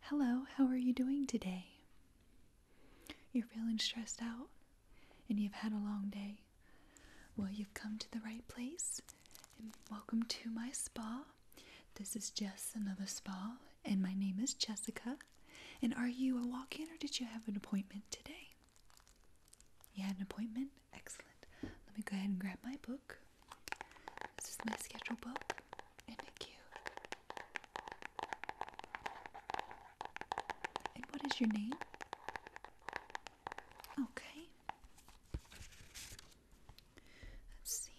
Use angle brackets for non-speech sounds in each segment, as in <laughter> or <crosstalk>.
Hello, how are you doing today? You're feeling stressed out and you've had a long day. Well, you've come to the right place and welcome to my spa. This is just another spa and my name is Jessica. And are you a walk in or did you have an appointment today? You had an appointment? Excellent. Let me go ahead and grab my book. This is my schedule book. And thank you. And what is your name? Okay. Let's see.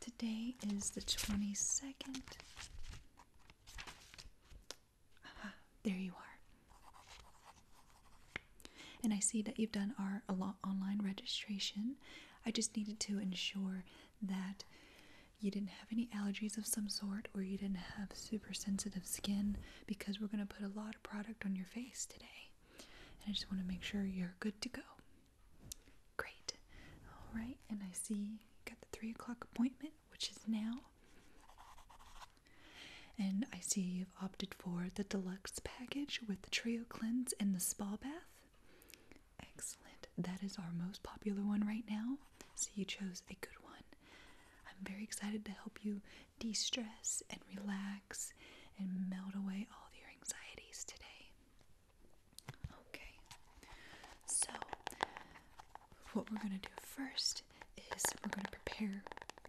Today is the 22nd there you are. And I see that you've done our online registration. I just needed to ensure that you didn't have any allergies of some sort or you didn't have super sensitive skin because we're going to put a lot of product on your face today. And I just want to make sure you're good to go. Great. All right. And I see you got the three o'clock appointment, which is now. And I see you've opted for the deluxe package with the trio cleanse and the spa bath. Excellent. That is our most popular one right now. So you chose a good one. I'm very excited to help you de stress and relax and melt away all of your anxieties today. Okay. So, what we're going to do first is we're going to prepare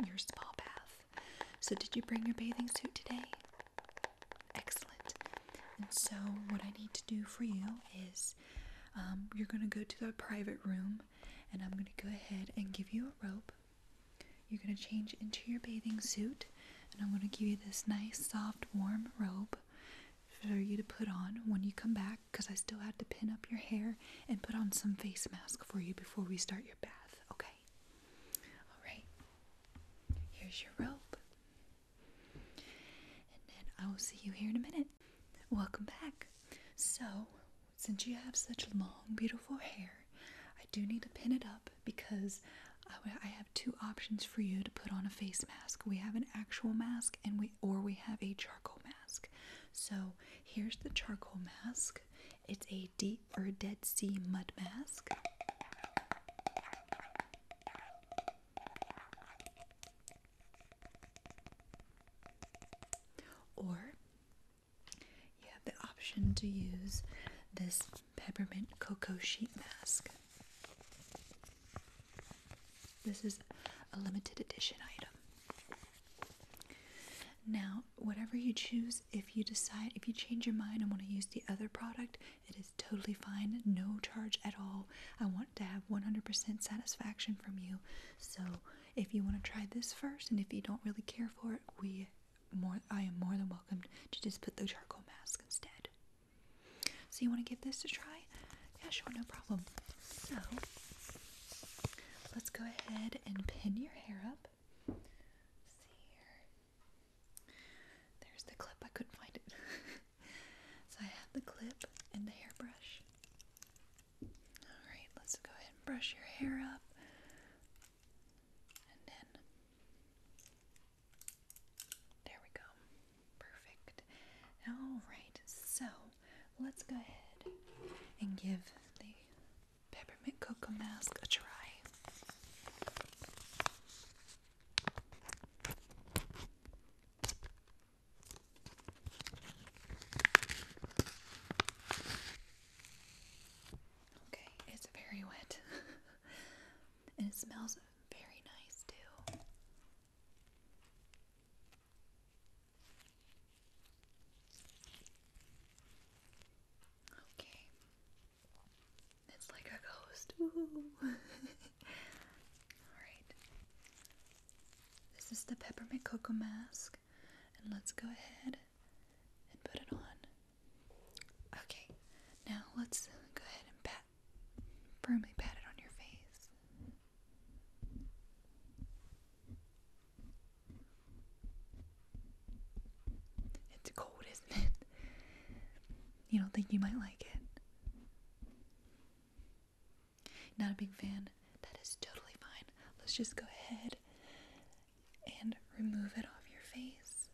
your spa bath. So, did you bring your bathing suit today? Excellent. And so, what I need to do for you is um, you're going to go to the private room, and I'm going to go ahead and give you a rope. You're going to change into your bathing suit, and I'm going to give you this nice, soft, warm robe for you to put on when you come back because I still had to pin up your hair and put on some face mask for you before we start your bath, okay? All right. Here's your rope. And then I will see you here in a minute. Welcome back. So, since you have such long, beautiful hair, I do need to pin it up because I have two options for you to put on a face mask. We have an actual mask and we or we have a charcoal mask. So here's the charcoal mask it's a deep or Dead Sea mud mask. Or you have the option to use this peppermint cocoa sheet mask. This is a limited edition item. Now, whatever you choose, if you decide, if you change your mind and want to use the other product, it is totally fine, no charge at all. I want to have 100% satisfaction from you. So, if you want to try this first, and if you don't really care for it, we more I am more than welcome to just put the charcoal mask instead. So, you want to give this a try? Yeah, sure, no problem. So, let's go ahead and pin your hair up. There's the clip. I couldn't find it. <laughs> so I have the clip and the hairbrush. Alright, let's go ahead and brush your hair up. And then. There we go. Perfect. Alright, so let's go ahead and give the peppermint cocoa mask a try. Okay, it's very wet. <laughs> and it smells very nice too. Okay. It's like a ghost. <laughs> Alright. This is the peppermint cocoa mask. And let's go ahead and put it on. Okay. Now let's go ahead and pat firmly pat it on your face. It's cold, isn't it? You don't think you might like it? Not a big fan? That is totally fine. Let's just go ahead and remove it off your face.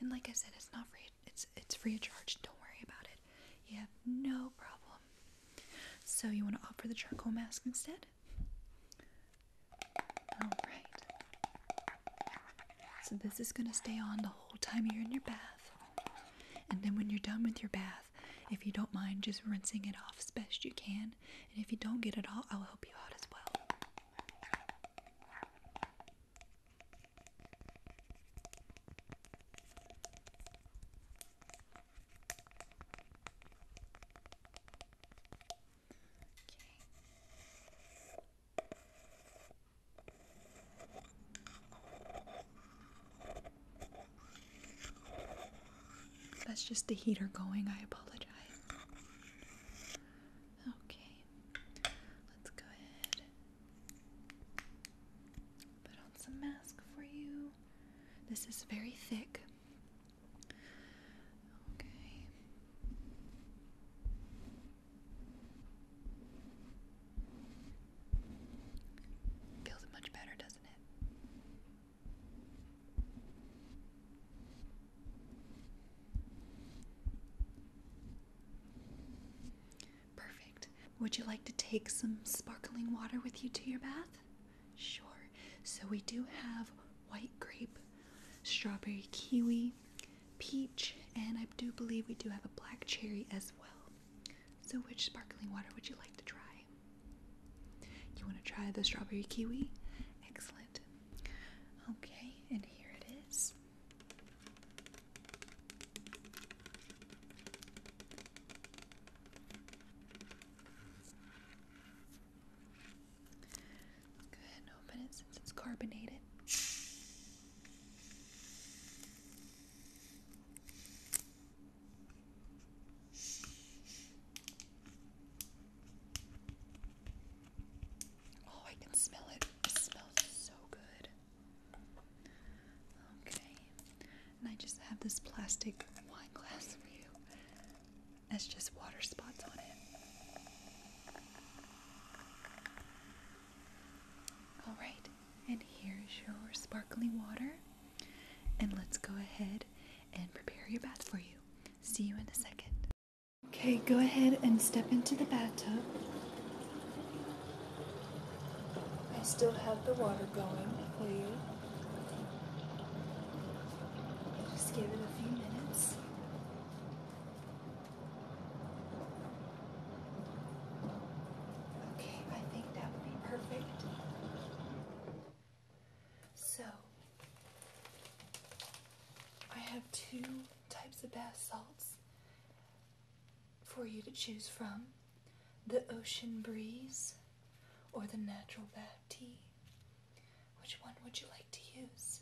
And like I said, it's not free. It's it's free of charge. Don't worry about it. You have no problem so you want to opt for the charcoal mask instead? Alright. So this is going to stay on the whole time you're in your bath. And then when you're done with your bath, if you don't mind just rinsing it off as best you can. And if you don't get it all, I'll help you out as well. That's just the heater going. I apologize. Okay, let's go ahead. Put on some mask for you. This is very thick. Okay. Feels much better, doesn't it? Perfect. Would you like to take some sparkling water with you to your bath? Sure. So we do have white grape, strawberry kiwi, peach, and I do believe we do have a black cherry as well. So, which sparkling water would you like to try? You want to try the strawberry kiwi? Excellent. Okay, and here it is go ahead and open it since it's carbonated. Oh, I can smell it. It smells so good. Okay. And I just have this plastic wine glass for you. That's just water spots on it. Alright, and here's your sparkling water. And let's go ahead and prepare your bath for you. See you in a second. Okay, go ahead and step into the bathtub. I still have the water going Please. Just give it a few minutes. Okay, I think that would be perfect. So, I have two types of bath salts for you to choose from the Ocean Breeze or the natural bath tea? Which one would you like to use?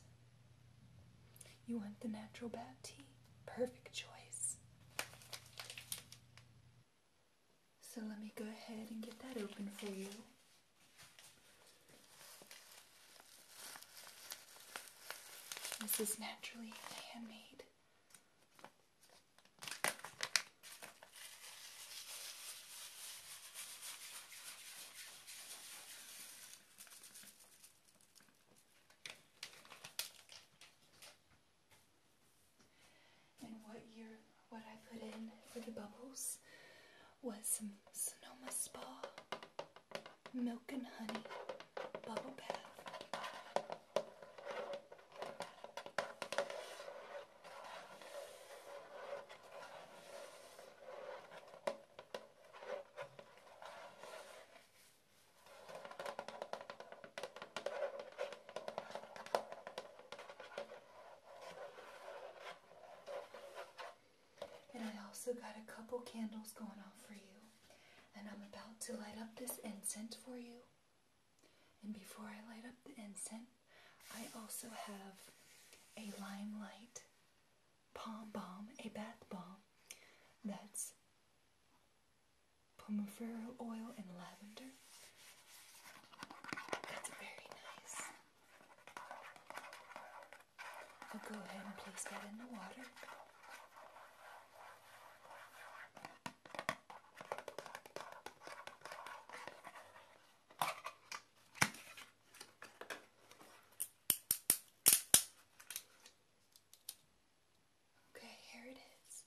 You want the natural bath tea? Perfect choice. So let me go ahead and get that open for you. This is naturally handmade. And what year, what I put in for the bubbles was some Sonoma Spa milk and honey bubble bath. And I also got a couple candles going on for you. And I'm about to light up this incense for you. And before I light up the incense, I also have a limelight palm balm, a bath balm that's pomifero oil and lavender. That's very nice. I'll go ahead and place that in the water. Okay, here it is.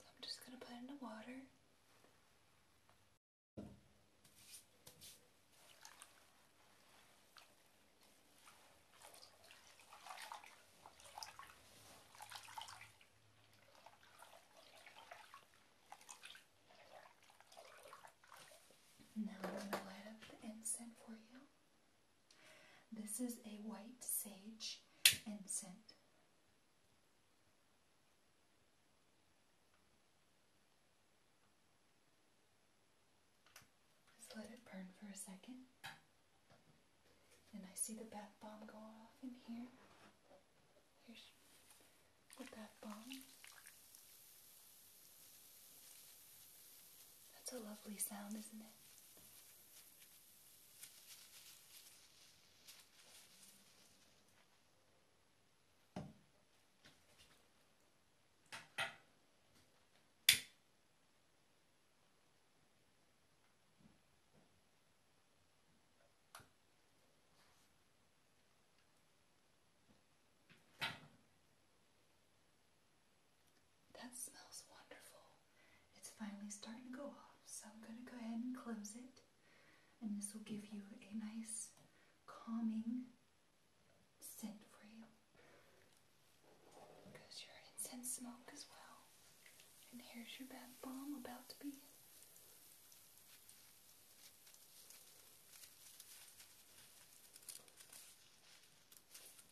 I'm just going to put it in the water. Now I'm going to light up the incense for you. This is a white sage incense. Just let it burn for a second. And I see the bath bomb go off in here. Here's the bath bomb. That's a lovely sound, isn't it? That smells wonderful. It's finally starting to go off, so I'm going to go ahead and close it. And this will give you a nice calming scent for you. Because your incense smoke as well. And here's your bath bomb about to be.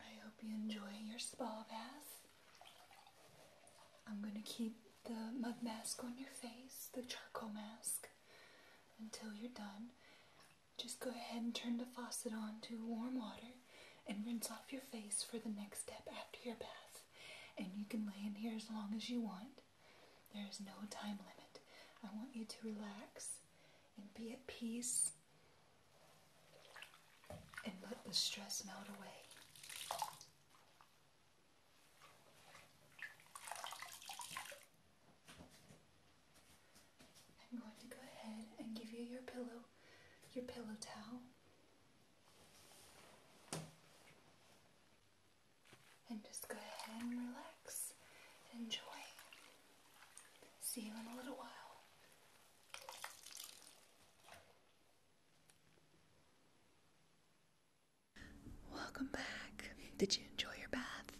I hope you enjoy your spa bath. I'm going to keep the mud mask on your face, the charcoal mask, until you're done. Just go ahead and turn the faucet on to warm water and rinse off your face for the next step after your bath. And you can lay in here as long as you want. There is no time limit. I want you to relax and be at peace and let the stress melt away. I'm going to go ahead and give you your pillow, your pillow towel. And just go ahead and relax and enjoy. See you in a little while. Welcome back. Did you enjoy your bath?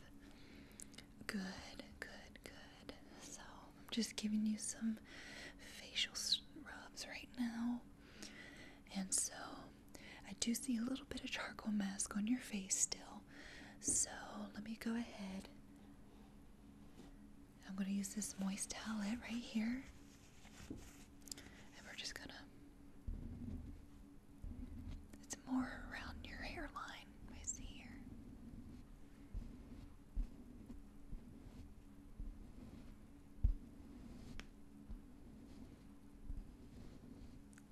Good, good, good. So, I'm just giving you some facial rubs right now. And so, I do see a little bit of charcoal mask on your face still. So let me go ahead. I'm going to use this moist towelette right here. And we're just going to. It's more around your hairline, I see here.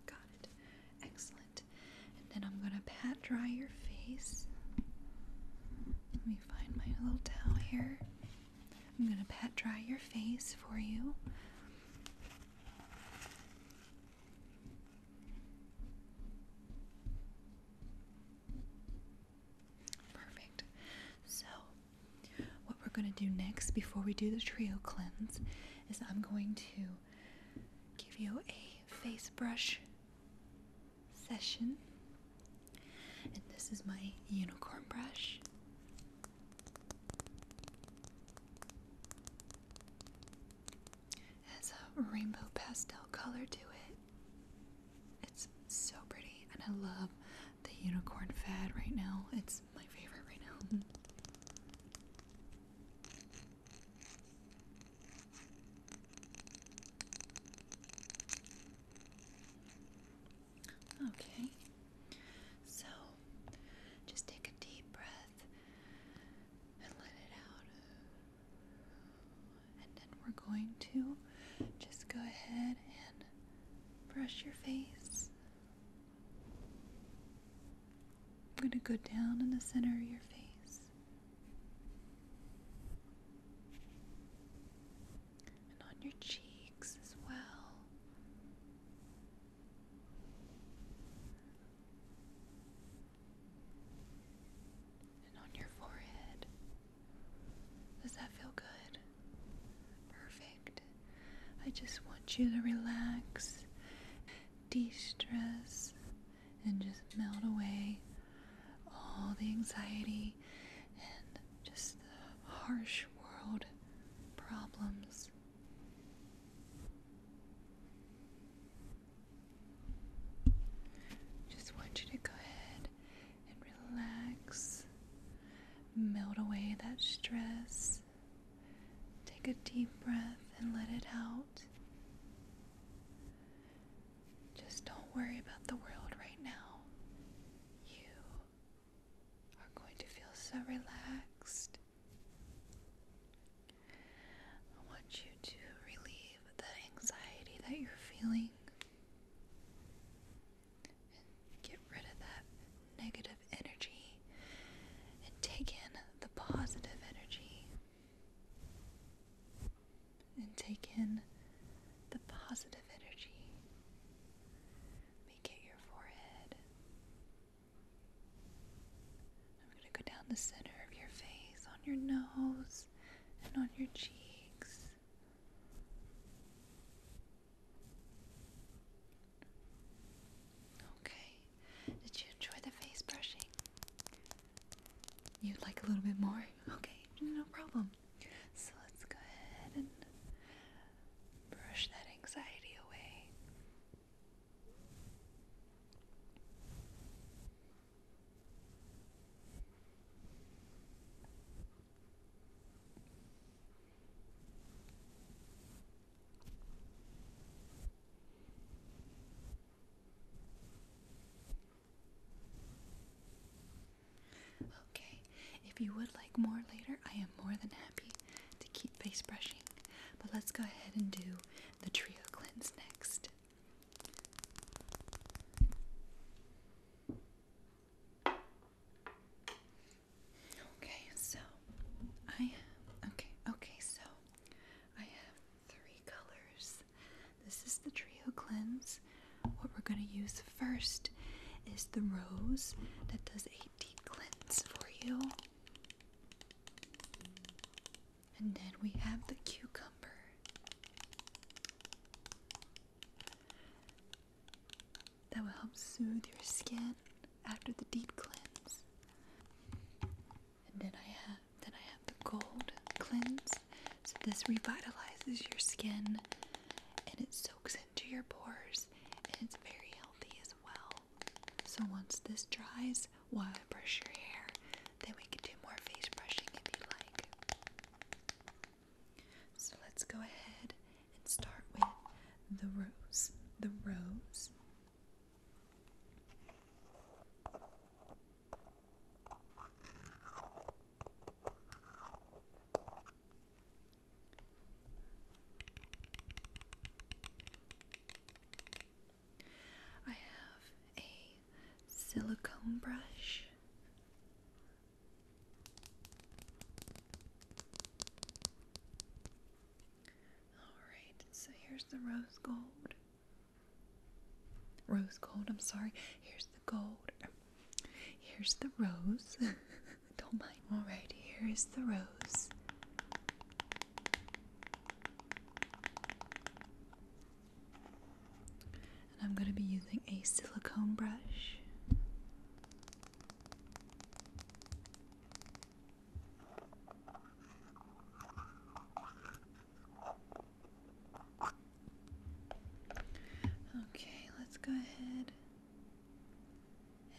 Got it. Excellent. And then I'm going to pat dry your face. Let me find my little towel here. I'm going to pat dry your face for you. Perfect. So what we're going to do next before we do the trio cleanse is I'm going to give you a face brush session. And this is my unicorn brush. It has a rainbow pastel color to it. It's so pretty and I love the unicorn fad right now. It's my favorite right now. Okay, so just take a deep breath and let it out. And then we're going to just go ahead and brush your face I'm going to go down in the center of your face. And on your cheeks as well. And on your forehead. Does that feel good? Perfect. I just want you to relax, de stress, and just melt away all the anxiety and just the harsh world problems. Just want you to go ahead and relax, melt away that stress, Take a deep breath and let it out. Just don't worry about the world right now. You are going to feel so relaxed. I want you to relieve the anxiety that you're feeling and get rid of that negative energy and take in the positive energy and take in the positive energy. Make it your forehead. I'm going to go down the center of your face, on your nose, and on your cheeks. Okay. Did you enjoy the face brushing? You'd like a little bit more? <laughs> Okay, no problem. So let's go ahead and brush that anxiety away. Okay, if you would like more later, I am more than happy to keep face brushing. But let's go ahead and do the trio cleanse next. Okay, so I okay, okay, so I have three colors. This is the trio cleanse. What we're gonna use first is the rose that does a deep cleanse for you. And then we have the cucumber that will help soothe your skin after the deep cleanse. And then I have then I have the gold cleanse. So this revitalizes your skin and it soaks into your pores and it's very healthy as well. So once this dries, while I brush your hair, then we can do more face brushing if you like. So let's go ahead and start with the rose. The rose. I have a silicone brush Alright, so here's the rose gold. Rose gold, I'm sorry. Here's the gold. Here's the rose. <laughs> Don't mind. Alright, here is the rose. And I'm going to be using a silicone brush. Okay, let's go ahead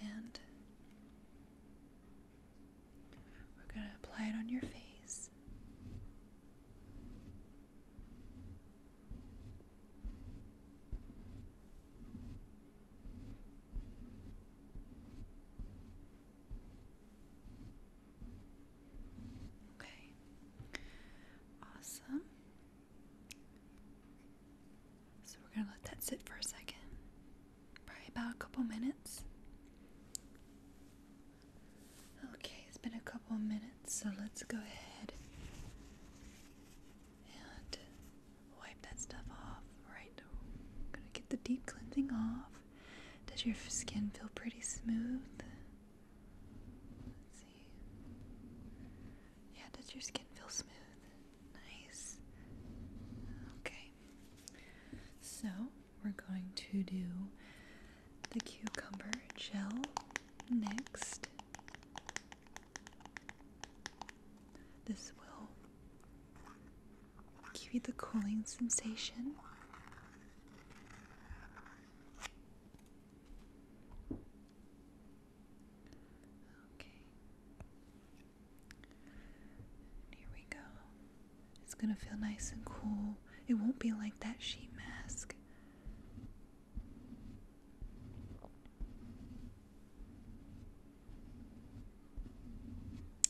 and we're going to apply it on your face. Okay. Awesome. So we're going to let that sit for a second. Probably about a couple minutes. Okay, it's been a couple minutes, so let's go ahead and wipe that stuff off. Right, i gonna get the deep cleansing off. Does your skin feel pretty smooth? Let's see. Yeah, does your skin feel smooth? Nice. Okay. So we're going to do the cucumber gel next. This will give you the cooling sensation. Okay. Here we go. It's going to feel nice and cool. It won't be like that sheet mask.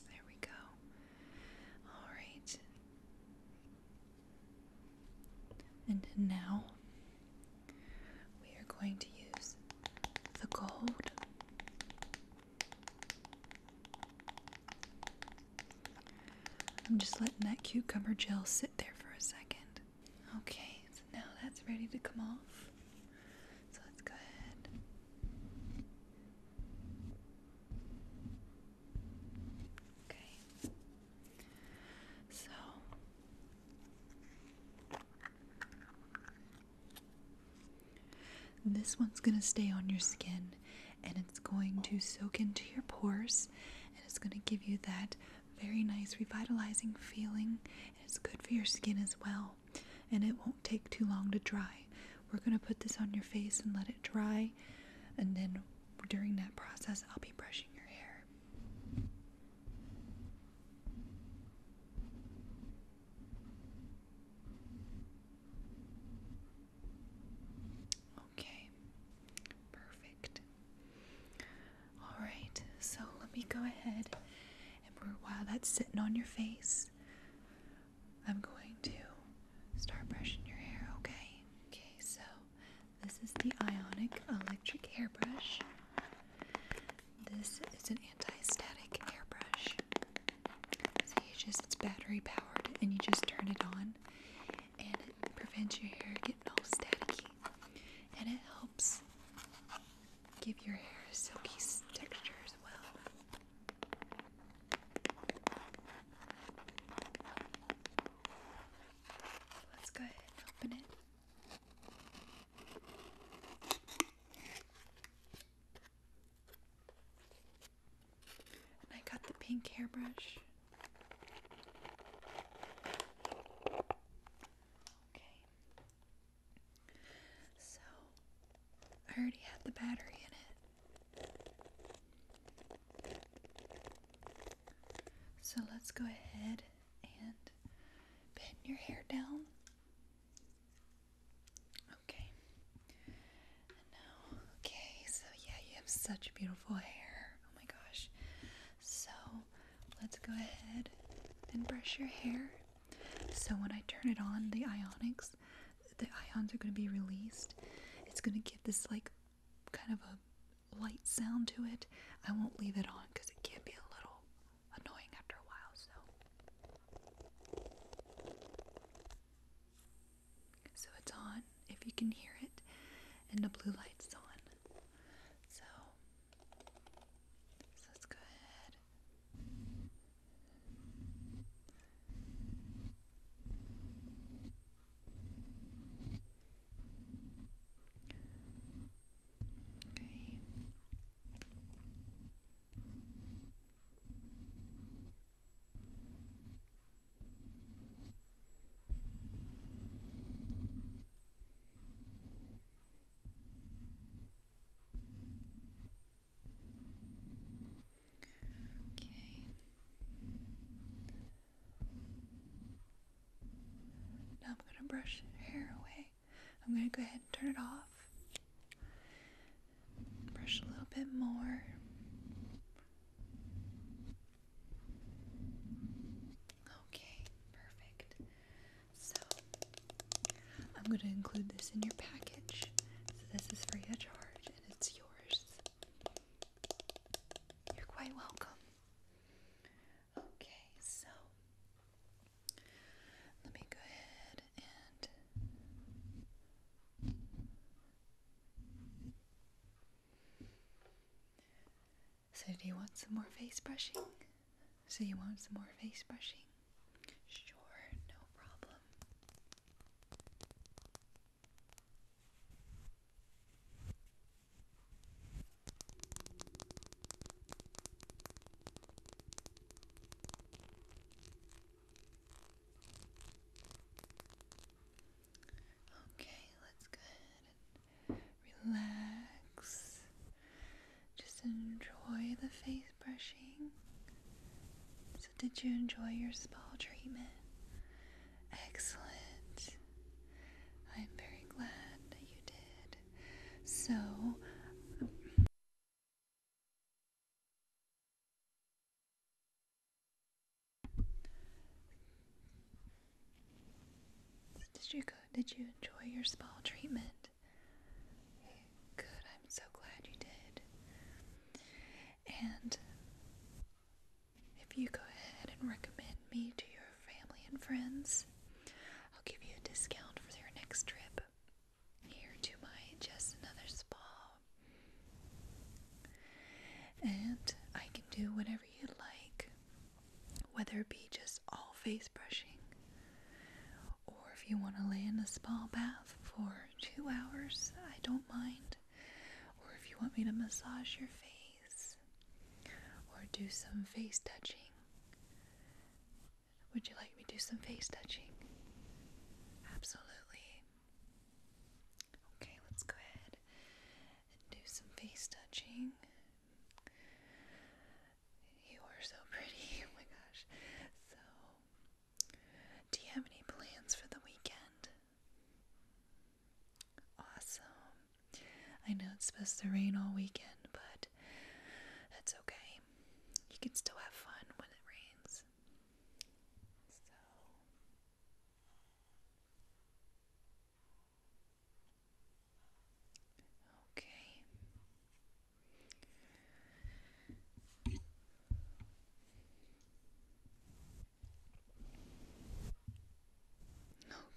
There we go. All right. And now we are going to use the gold I'm just letting that cucumber gel sit there for a second. Okay, so now that's ready to come off. So let's go ahead. Okay. So this one's going to stay on your skin and it's going to soak into your pores and it's going to give you that very nice revitalizing feeling. And it's good for your skin as well and it won't take too long to dry. We're going to put this on your face and let it dry, and then during that process, I'll be brushing your hair. Okay, perfect. All right, so let me go ahead and while that's sitting on your face, I'm going to start brushing your hair, okay? Okay, so this is the Ionic Electric Hairbrush. This is an anti-static hairbrush. So you just it's battery powered and you just turn it on and it prevents your hair getting all staticky and it helps give your hair a silky texture as well. Let's go ahead and open it. I got the pink hairbrush. Okay. So, I already had the battery in it. So, let's go ahead and bend your hair down. Okay. now, okay, so yeah, you have such beautiful hair. Oh my gosh. So, let's go ahead and brush your hair. So when I turn it on, the ionics, the ions are going to be released. It's going to give this like kind of a light sound to it. I won't leave it on because it can be a little annoying after a while. So, so it's on. If you can hear it, and the blue light's on. So so let's go ahead Okay. Okay. Now I'm going to brush hair away. I'm going to go ahead and turn it off. Brush a little bit more. Okay, perfect. So I'm going to include this in your package. So this is free of charge and it's yours. You're quite welcome. Okay, so let me go ahead and so do you want some more face brushing? So you want some more face brushing? Sure, no problem. Okay, let's go ahead relax. Just enjoy the face brushing. So, did you enjoy your spa treatment? Excellent. I'm very glad that you did. So, did you go? Did you enjoy your spa treatment? Good, I'm so glad you did. And if you go ahead and recommend me to your family and friends, I'll give you a discount for your next trip here to my Just Another Spa. And I can do whatever you'd like, whether it be just all face brushing or if you want to lay in a small bath for two hours, I don't mind. Or if you want me to massage your face or do some face touching. Would you like me to do some face touching? Absolutely. Okay, let's go ahead and do some face touching. You are so pretty. <laughs> Oh my gosh. So, do you have any plans for the weekend? Awesome. I know it's supposed to rain all weekend, but that's okay. You can still have fun when it rains. okay.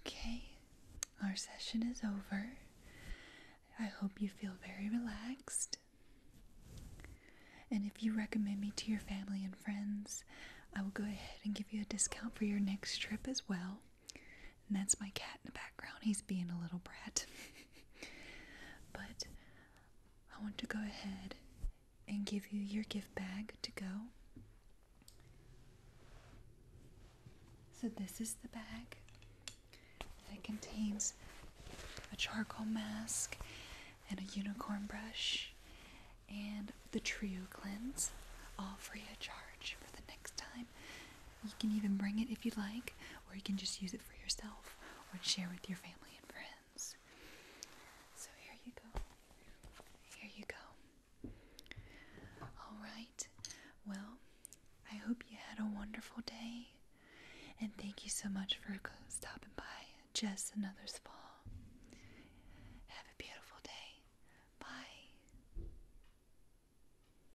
Okay, our session is over. I hope you feel very relaxed. And if you recommend me to your family and friends, I will go ahead and give you a discount for your next trip as well. And that's my cat in the background. He's being a little brat. <laughs> but I want to go ahead and give you your gift bag to go. So, this is the bag that contains a charcoal mask and a unicorn brush and the trio cleanse, all free of charge for the next time you can even bring it if you'd like, or you can just use it for yourself or share with your family and friends. So here you go. Here you go. All right. Well, I hope you had a wonderful day. And thank you so much for stopping by Just Another Spa. Have a beautiful day. Bye.